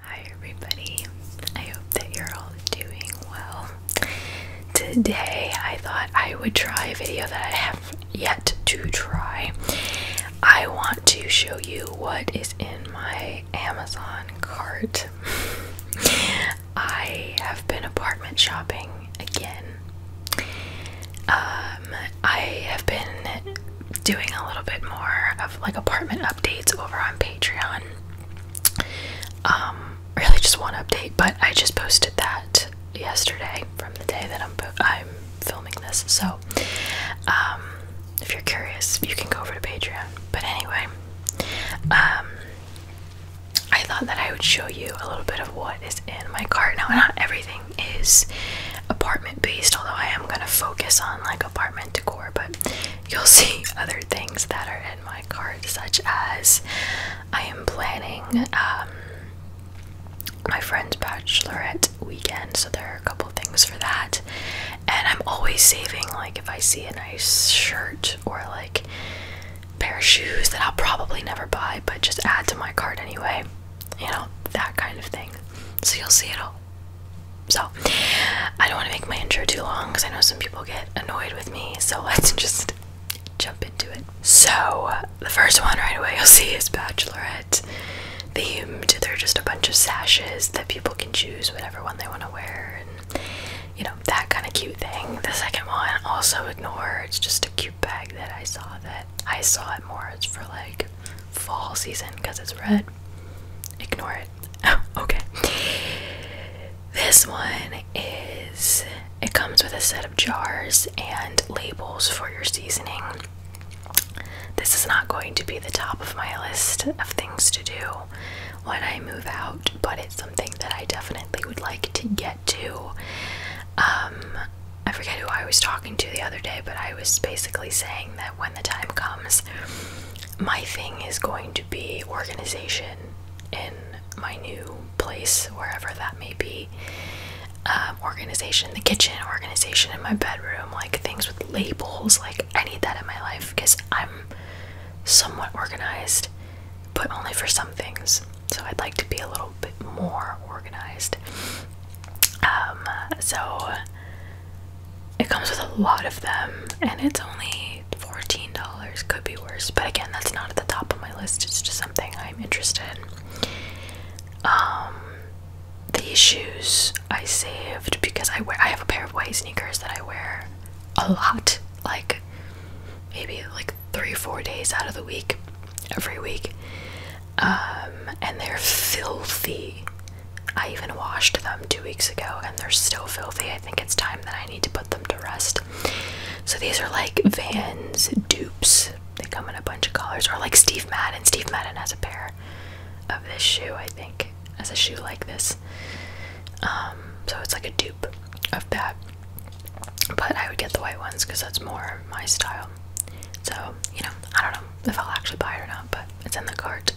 Hi, everybody. I hope that you're all doing well. Today, I thought I would try a video that I have yet to try. I want to show you what is in my Amazon cart. I have been apartment shopping again. Um, I have been doing a little bit more of like apartment updates over on Patreon. Um, really just one update, but I just posted that yesterday from the day that I'm I'm filming this. So, um, if you're curious, you can go over to Patreon. But anyway, um, I thought that I would show you a little bit of what is in my cart. Now, not everything is apartment based, although I am going to focus on like apartment decor, but you'll see other things that are in my cart, such as I am planning um, my friend's bachelorette weekend, so there are a couple things for that. And I'm always saving, like, if I see a nice shirt or like pair of shoes that I'll probably never buy but just add to my cart anyway. You know, that kind of thing. So you'll see it all. So, I don't want to make my intro too long because I know some people get annoyed with me. So, let's just jump into it. So, the first one right away you'll see is Bachelorette themed. They're just a bunch of sashes that people can choose whatever one they want to wear you know, that kind of cute thing. The second one, also ignore. It's just a cute bag that I saw that I saw it more. It's for like fall season because it's red. Ignore it. okay. This one is it comes with a set of jars and labels for your seasoning. This is not going to be the top of my list of things to do when I move out, but it's something that I definitely would like to get to. Um, I forget who I was talking to the other day, but I was basically saying that when the time comes, my thing is going to be organization in my new place, wherever that may be. Um, organization in the kitchen, organization in my bedroom, like things with labels. Like, I need that in my life because I'm somewhat organized but only for some things. So I'd like to be a little bit more organized. Um, so it comes with a lot of them, and it's only $14. Could be worse, but again, that's not at the top of my list. It's just something I'm interested in. Um, these shoes I saved because I wear. I have a pair of white sneakers that I wear a lot. Like maybe like three, four days out of the week, every week. Um, and they're filthy. I even washed them two weeks ago and they're still filthy. I think it's time that I need to put them to rest. So these are like Vans dupes. They come in a bunch of colors, or like Steve Madden. Steve Madden has a pair of this shoe, I think, as a shoe like this. Um, so it's like a dupe of that. But I would get the white ones because that's more my style. So, you know, I don't know if I'll actually buy it or not, but it's in the cart.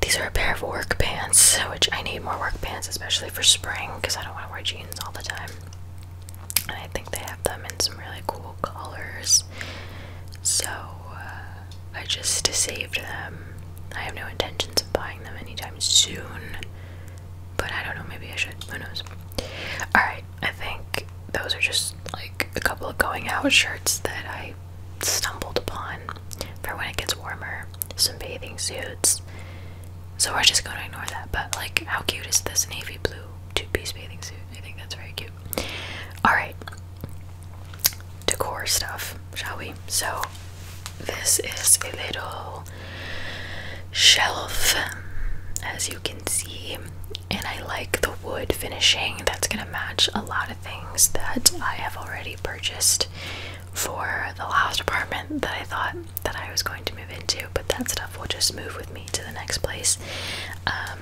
These are a pair of work pants, which I need more work pants, especially for spring, because I don't want to wear jeans all the time. And I think they have them in some really cool colors. So, uh, I just saved them. I have no intentions of buying them anytime soon. But I don't know, maybe I should. Who knows? Alright, I think those are just like a couple of going out shirts that I stumbled upon for when it gets warmer. Some bathing suits. So we're just gonna ignore that. But like, how cute is this navy blue two piece bathing suit? I think that's very cute. Alright. Decor stuff, shall we? So, this is a little shelf, as you can see, and I like the wood finishing that's going to match a lot of things that I have already purchased for the last apartment that I thought that I was going to move into, but that stuff will just move with me to the next place. Um,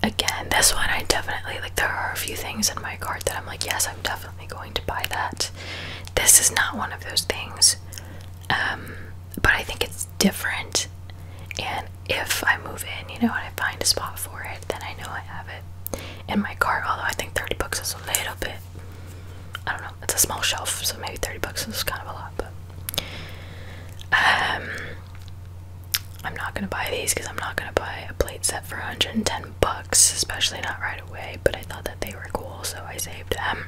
again, this one I definitely like. There are a few things in my cart that I'm like, yes, I'm definitely Am definitely going to buy that. This is not one of those things, um, but I think it's different. And if I move in, you know, and I find a spot for it, then I know I have it in my cart. Although I think 30 bucks is a little bit, I don't know, it's a small shelf, so maybe 30 bucks is kind of a lot, but. Um, I'm not gonna buy these because I'm not gonna buy a plate set for 110 10 bucks, especially not right away, but I thought that they were cool, so I saved them.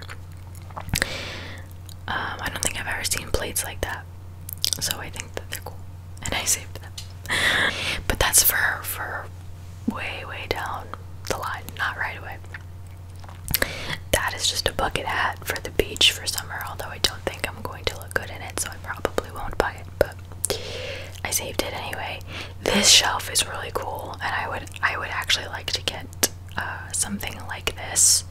Um, I don't think I've ever seen plates like that, so I think that they're cool, and I saved them. but that's for for way way down the line, not right away. That is just a bucket hat for the beach for summer, although I don't think I'm going to look good in it, so I probably won't buy it but I saved it anyway. This shelf is really cool, and I would I would actually like to get uh, something like this.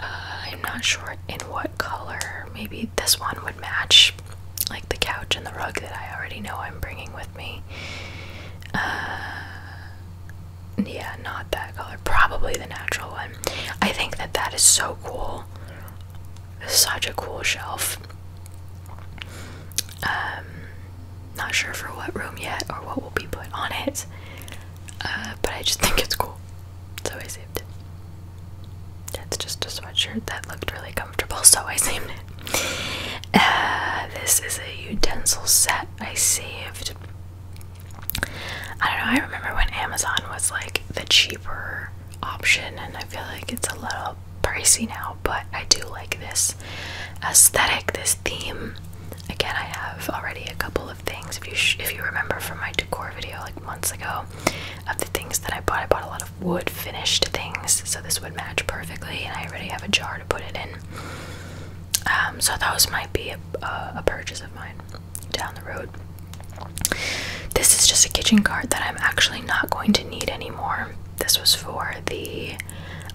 Uh, I'm not sure in what color. Maybe this one would match, like the couch and the rug that I already know I'm bringing with me. Uh, yeah, not that color. Probably the natural one. I think that that is so cool. Such a cool shelf. Um, not sure for what room yet or what will be put on it, uh, but I just think it's cool, so I saved it. That's just a sweatshirt that looked really comfortable, so I saved it. Uh, this is a utensil set I saved. I don't know, I remember when Amazon was like the cheaper option, and I feel like it's a little little pricey now, but I do like this aesthetic, this theme. Again, I have already a couple of things. If you if you remember from my decor video like months ago, of the things that I bought, I bought a lot of wood finished things, so this would match perfectly. And I already have a jar to put it in. Um, so those might be a, a, purchase of mine down the road. This is just a kitchen cart that I'm actually not going to need anymore. This was for the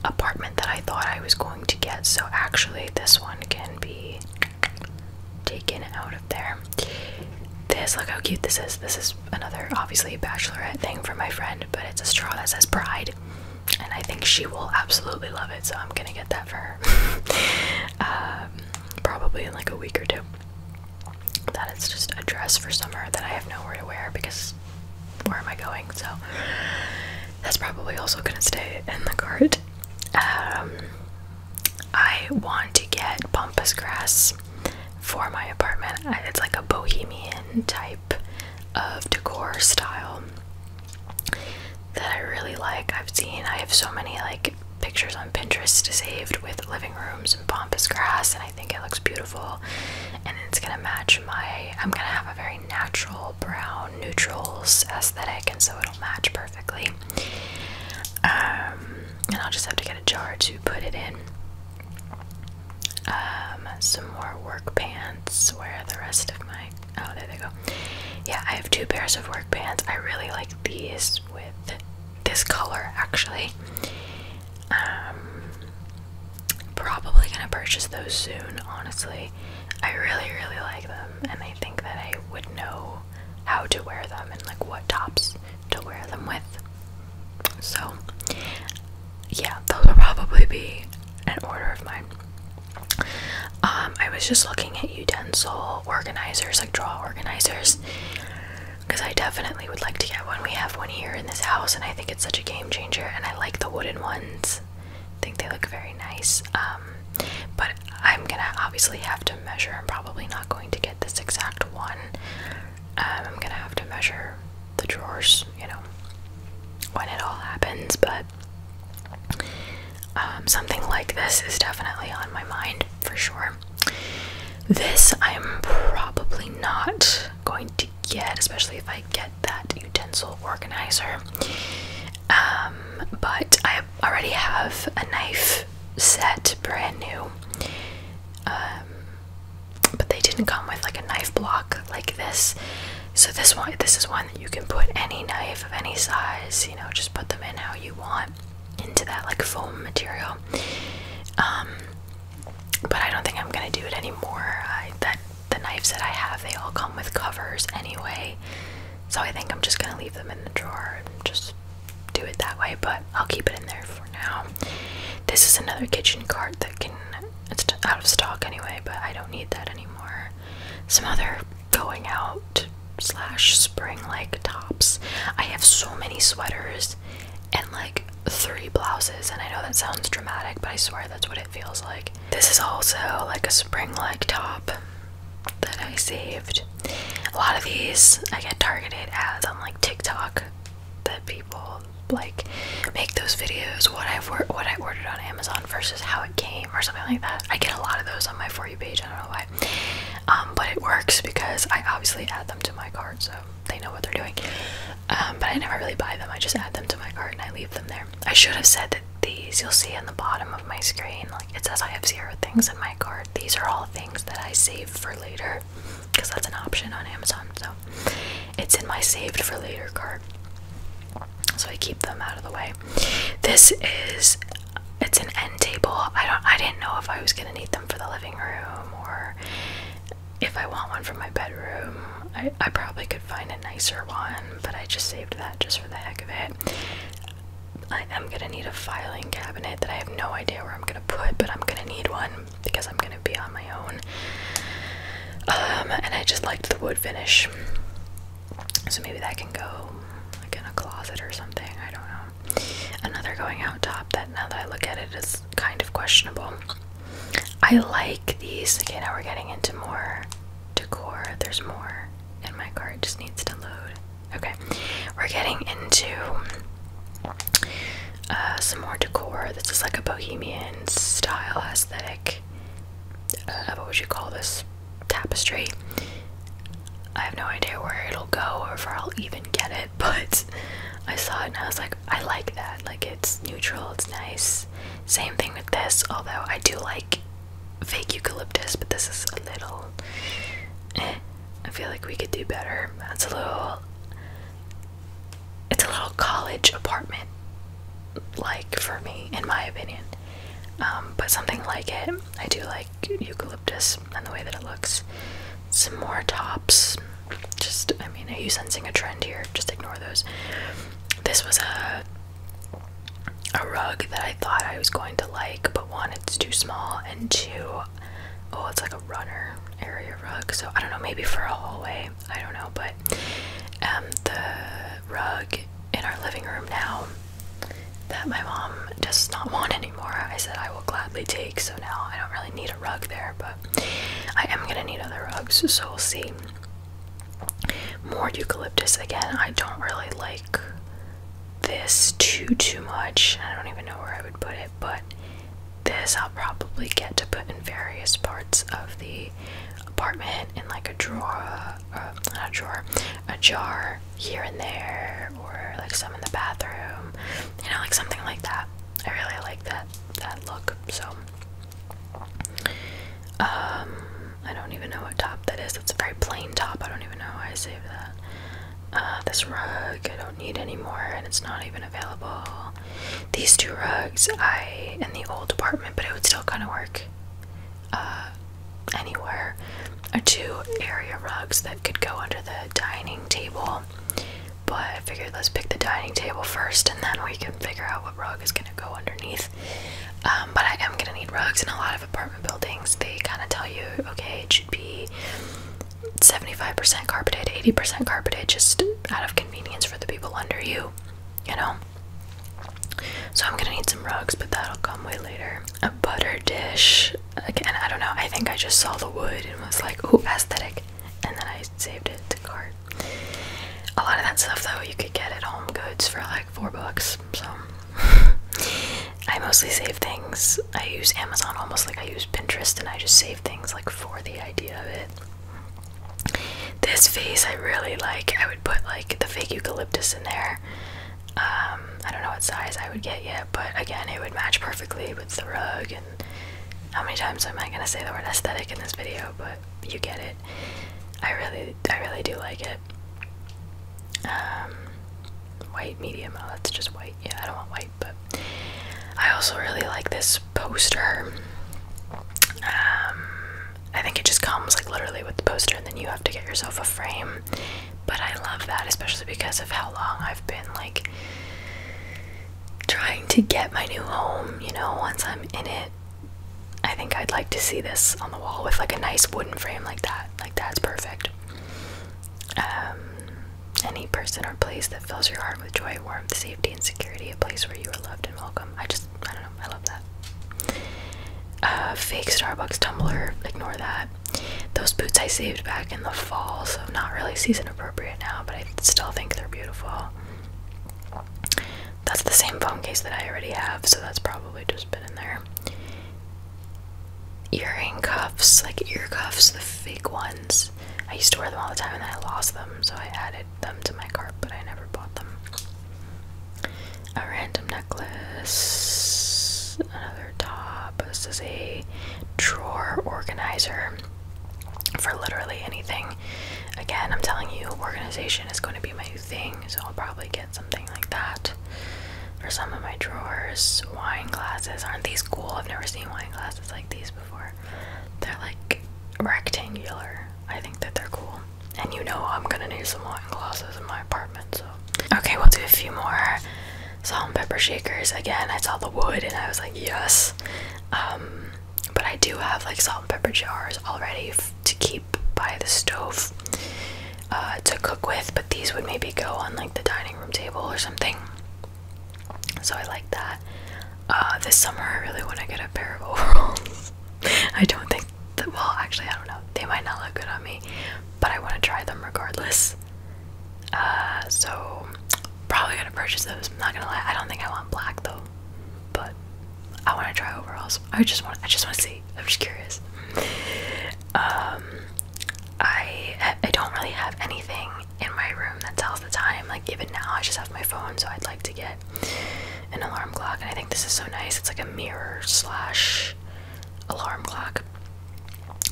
apartment that I thought I was going to get, so actually, this one can be taken out of there. This, look how cute this is. This is another, obviously, bachelorette thing for my friend, but it's a straw that says pride, and I think she will absolutely love it, so I'm gonna get that for her. Um, probably in like a week or two that it's just a dress for summer that I have nowhere to wear because where am I going? So that's probably also gonna stay in the cart. Um, I want to get pampas grass for my apartment. It's like a bohemian type of decor style that I really like. I've seen I have so many like pictures on Pinterest saved with living rooms and pampas grass, and I I think it looks beautiful and it's gonna match my I'm gonna have a very natural brown neutrals aesthetic and so it'll match perfectly um, and I'll just have to get a jar to put it in um, some more work pants where the rest of my oh there they go yeah I have two pairs of work pants I really like these with this color actually um, probably gonna purchase those soon, honestly. I really, really like them, and I think that I would know how to wear them and like what tops to wear them with. So, yeah, those will probably be an order of mine. Um, I was just looking at utensil organizers, like draw organizers, because I definitely would like to get one. We have one here in this house, and I think it's such a game changer. And I like the wooden ones; I think they look very nice. Um, but I'm gonna obviously have to measure. I'm probably not going to get this exact one. Um, I'm gonna have to measure the drawers, you know, when it all happens. But um, something like this is definitely on my mind for sure. This I'm probably not going to to get, especially if I get that utensil organizer. Um, but I already have a knife set, brand new. Um, but they didn't come with like a knife block like this. So this one, this is one that you can put any knife of any size. You know, just put them in how you want into that like foam material. Um, but I don't think I'm gonna do it anymore. that the knives that I have, they all come with covers anyway, so I think I'm just gonna leave them in the drawer and just do it that way. But I'll keep it in there for now. This is another kitchen cart that can it's out of stock anyway, but I don't need that anymore. Some other going out slash spring like tops. I have so many sweaters and like three blouses. And I know that sounds dramatic, but I swear that's what it feels like. This is also like a spring like top that I saved. A lot of these I get targeted ads on like TikTok that people like make those videos what I've what I ordered on Amazon versus how it came or something like that. I get a lot of those on my for you page. I don't know why, um, but it works because I obviously add them to my cart. So they know what they're doing. Um, but I never really buy them. I just add them to my cart and I leave them there. I should have said that these you'll see on the bottom of my screen. Like it says I have zero things in my cart. These are all things that I save for later because that's an option on Amazon. So it's in my saved for later cart. So I keep them out of the way. This is it's an end table. I don't I didn't know if I was gonna need them for the living room or if I want one for my bedroom, I, I probably could find a nicer one, but I just saved that just for the heck of it. I am gonna need a filing cabinet that I have no idea where I'm gonna put, but I'm gonna need one because I'm gonna be on my own. Um, and I just liked the wood finish, so maybe that can go like in a closet or something. I don't know. Another going out top that now that I look at it is kind of questionable. I like these. Okay, now we're getting into more decor. There's more in my cart, just needs to load. Okay, we're getting into uh, some more decor. This is like a bohemian style aesthetic. Uh, what would you call this? Tapestry. I have no idea where it'll go or if I'll even get it, but I saw it and I was like, I like that. Like it's neutral, it's nice. Same thing with this, although I do like fake eucalyptus, but this is a little eh, I feel like we could do better. That's a little it's a little college apartment like for me, in my opinion. Um, but something like it. I do like eucalyptus and the way that it looks. Some more tops just I mean, are you sensing a trend here? Just ignore those. This was a a rug that I thought I was going to like, but one, it's too small, and two, oh, it's like a runner area rug. So I don't know, maybe for a hallway, I don't know, but um, the rug in our living room now that my mom does not want anymore, I said I will gladly take. So now I don't really need a rug there, but I am gonna need other rugs, so we'll see. More eucalyptus again. I don't really like this too too much. I don't even know where I would put it, but this I'll probably get to put in various parts of the apartment in like a drawer, uh, not a drawer, a jar here and there, or like some in the bathroom. You know, like something like that. I really like that that look. So um, I don't even know what top that is. It's a very plain top. I don't even know why I saved that. Uh, this rug I don't need anymore, and it's not even available. These two rugs I in the old apartment, but it would still kind of work uh, anywhere. Are two area rugs that could go under the dining table but I figured let's pick the dining table first and then we can figure out what rug is going to go underneath. Um, but I am going to need rugs and a lot of apartment buildings. They kind of tell you, okay, it should be 75% carpeted, 80% carpeted, just out of convenience for the people under you, you know? So I'm going to need some rugs, but that'll come way later. A butter dish. Again, I don't know. I think I just saw the wood and was like, ooh, aesthetic. And then I saved it to cart. A lot of that stuff though you could get at Home Goods for like four bucks. So I mostly save things. I use Amazon almost like I use Pinterest and I just save things like for the idea of it. This vase I really like. I would put like the fake eucalyptus in there. Um, I don't know what size I would get yet, but again, it would match perfectly with the rug. And how many times am I gonna say the word aesthetic in this video? But you get it. I really, I really do like it. Um, white medium. Oh, that's just white. Yeah, I don't want white, but I also really like this poster. Um, I think it just comes like literally with the poster, and then you have to get yourself a frame. But I love that, especially because of how long I've been like trying to get my new home. You know, once I'm in it, I think I'd like to see this on the wall with like a nice wooden frame like that. Like that's perfect. Um, any person or place that fills your heart with joy, warmth, safety, and security, a place where you are loved and welcome. I just, I don't know, I love that. fake Starbucks tumbler, ignore that. Those boots I saved back in the fall, so not really season appropriate now, but I still think they're beautiful. That's the same phone case that I already have, so that's probably just been in there. Earring cuffs, like ear cuffs, the fake ones. I used to wear them all the time and then I lost them, so I added them to my cart, but I never bought them. A random necklace, another top. This is a drawer organizer for literally anything. Again, I'm telling you, organization is going to be my thing, so I'll probably get something like that for some of my drawers. Wine glasses. Aren't these cool? I've never seen wine glasses like these before. They're like rectangular. I think that they're cool. And you know, I'm going to need some wine glasses in my apartment, so. Okay, we'll do a few more salt and pepper shakers. Again, I saw the wood and I was like, yes. Um, but I do have like salt and pepper jars already to keep by the stove uh, to cook with, but these would maybe go on like the dining room table or something. So I like that. Uh, this summer, I really want to get a pair of overalls. I don't think that, well, actually, I don't know. They might not look good on me, but I want to try them regardless. Uh, so probably gonna purchase those. I'm not gonna lie, I don't think I want black though, but I want to try overalls. I just want. I just want to see. I'm just curious. Um, I I don't really have anything in my room that tells the time. Like even now, I just have my phone. So I'd like to get an alarm clock. And I think this is so nice. It's like a mirror slash alarm clock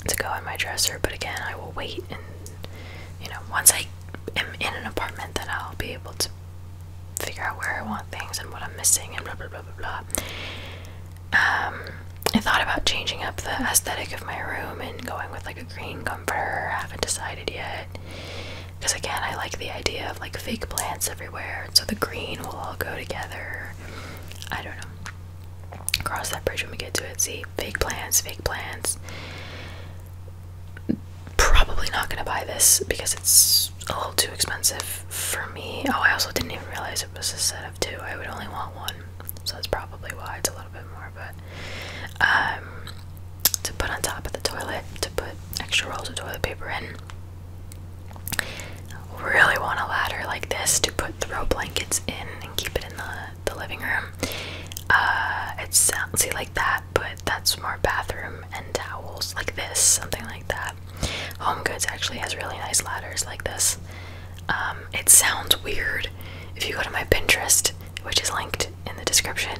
to go in my dresser. But again, I will wait and you know once I am in an apartment, then I'll be able to figure out where I want things and what I'm missing and blah blah blah blah blah. Um, I thought about changing up the aesthetic of my room and going with like a green comforter. I haven't decided yet. Because again, I like the idea of like fake plants everywhere, so the green will all go together. I don't know. Cross that bridge when we get to it. See, fake plants, fake plants probably not gonna buy this because it's a little too expensive for me. Oh, I also didn't even realize it was a set of two. I would only want one, so that's probably why it's a little bit more. But um, to put on top of the toilet, to put extra rolls of toilet paper in. Really want a ladder like this to put throw blankets in and keep it in the the living room. Uh, it sounds like that but that's more bathroom and towels, like this, something like that. Home Goods actually has really nice ladders like this. Um, it sounds weird if you go to my Pinterest, which is linked in the description.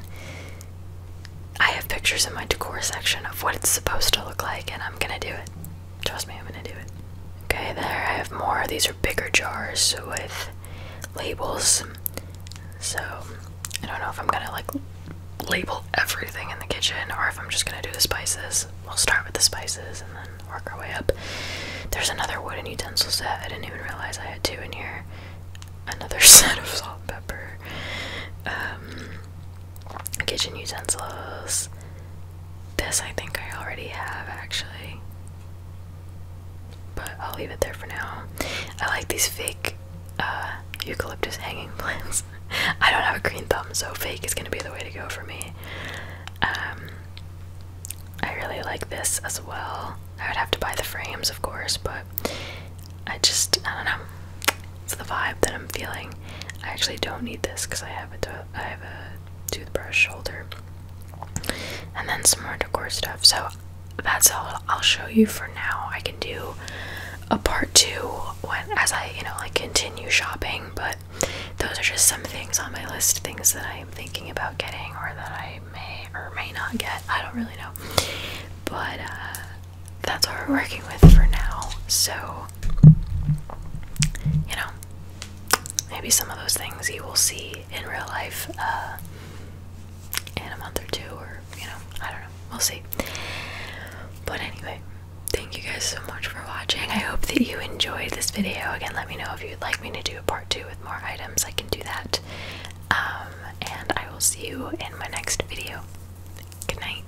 I have pictures in my decor section of what it's supposed to look like, and I'm gonna do it. Trust me, I'm gonna do it. Okay, there I have more. These are bigger jars with labels. So I don't know if I'm gonna like label everything in the kitchen or if I'm just gonna do the spices. We'll start with the spices and then work our way up. There's another wooden utensil set. I didn't even realize I had two in here. Another set of salt pepper. Um, kitchen utensils. This I think I already have actually. But I'll leave it there for now. I like these fake uh, eucalyptus hanging plants. I don't have a green thumb, so fake is gonna be the way to go for me. Um, I really like this as well. I would have to buy the frames, of course, but I just, I don't know. It's the vibe that I'm feeling. I actually don't need this because I have a I have a toothbrush holder, and then some more decor stuff. So that's all I'll show you for now. I can do a part two when as I, you know, like continue shopping, but those are just some things on my list, things that I'm thinking about getting or that I may or may not get. I don't really know. But uh, that's what we're working with for now. So you know, maybe some of those things you will see in real life uh, in a month or two or you know, I don't know. We'll see. But anyway, thank you guys so much for watching. I hope that you enjoyed this video. Again, let me know if you'd like me to do a part two with more items. I can do that. Um, and I will see you in my next video. Good night.